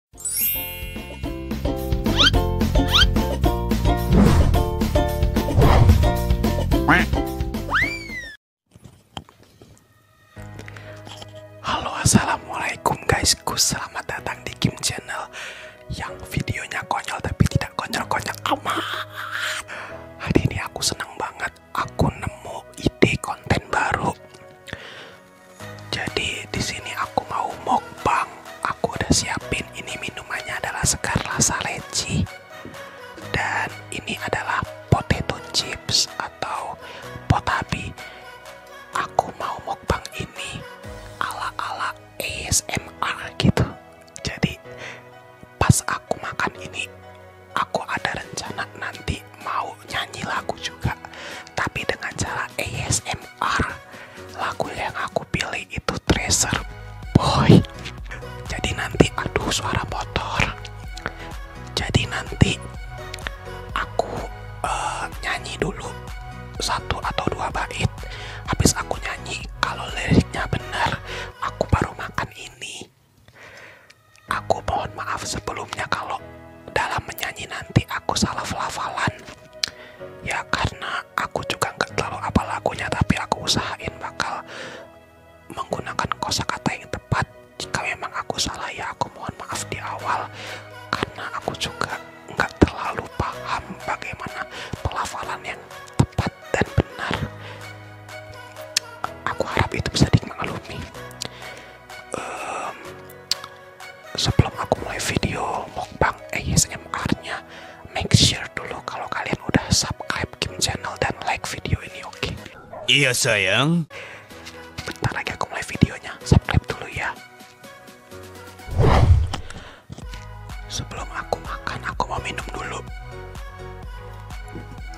Halo assalamualaikum guys, selamat datang di Kim Channel yang videonya konyol tapi tidak konyol-konyol amat hari ini aku senang banget aku nemu ide konten baru jadi di sini aku mau mukbang. Aku udah siapin ini minumannya adalah segar rasa leci. Dan ini adalah potato chips atau potabi. Aku mau mukbang ini ala-ala ASMR gitu. Jadi pas aku makan ini aku ada rencana nanti mau nyanyi lagu juga tapi dengan cara ASMR lagu yang aku pilih itu Treasure Boy jadi nanti aduh suara motor jadi nanti aku uh, nyanyi dulu satu atau dua bait habis aku nyanyi kalau liriknya benar aku baru makan ini Aku mohon maaf sebelumnya kalau dalam menyanyi nanti aku salah pelafalan. Ya karena aku juga nggak terlalu apa lagunya tapi aku usahain bakal menggunakan kosakata yang tepat. Jika memang aku salah ya aku mohon maaf di awal karena aku juga nggak terlalu paham bagaimana pelafalan yang tepat dan benar. Aku harap itu bisa dimaklumi sebelum aku mulai video mukbang ASMR-nya, make sure dulu kalau kalian udah subscribe Kim channel dan like video ini, oke? Iya sayang. Bentar lagi aku mulai videonya, subscribe dulu ya. Sebelum aku makan, aku mau minum dulu.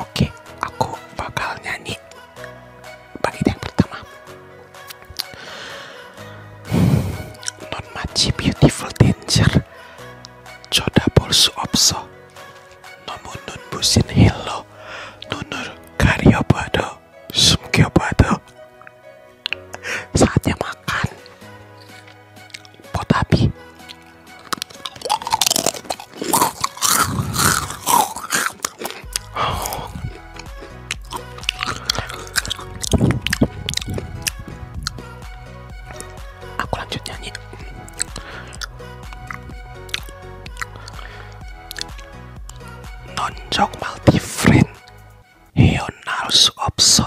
Oke, aku bakal nyanyi bagi yang pertama. Non much beautiful danger, coda bolsu opso, nomunun busin hello, nunur karyo bado, sumkyo bado. Saatnya makan pot api aku lanjut nyanyi nonjok multi friend heon harus opso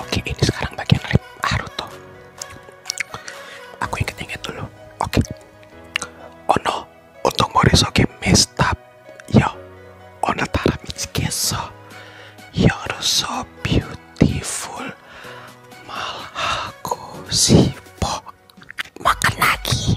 Oke, ini sekarang bagian lip Haruto. Aku inget-inget dulu. Oke. Oh no, untung Morisoki messed up. Yo, Onatara Mitsukeso. You're so beautiful. Malah aku sibuk makan lagi.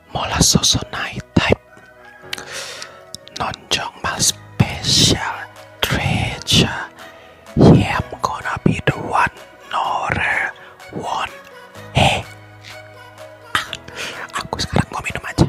molasosonide type nonjongmal special treasure yeah i'm gonna be the one no one hey ah, aku sekarang mau minum aja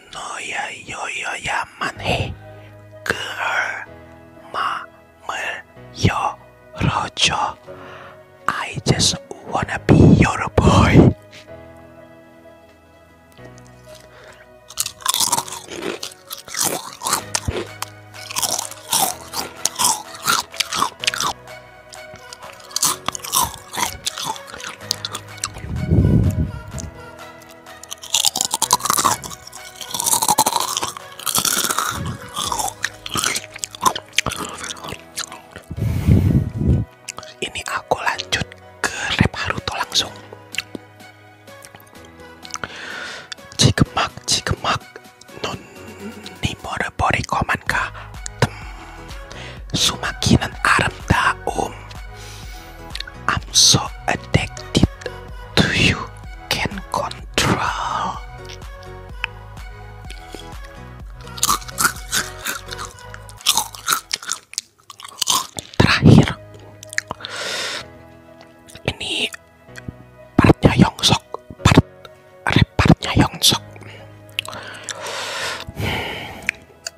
No, 너야 여여야만 그 해. yo, 열어줘. I just wanna be your boy. Ini aku lanjut ke rap Haruto langsung. Cigemak, cigemak, non nimore bori koman ka um I'm so addicted to you, control. Terakhir, ini partnya Yongsok, part rap partnya Yongsok.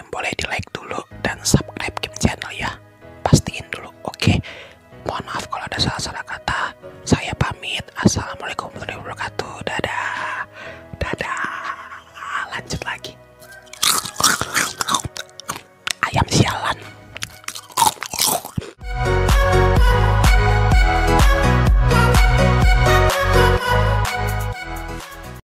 Iya, boleh di like dulu dan subscribe Kim Channel ya pastiin dulu oke okay? mohon maaf kalau ada salah-salah kata saya pamit assalamualaikum warahmatullahi wabarakatuh dadah dadah lanjut lagi ayam sialan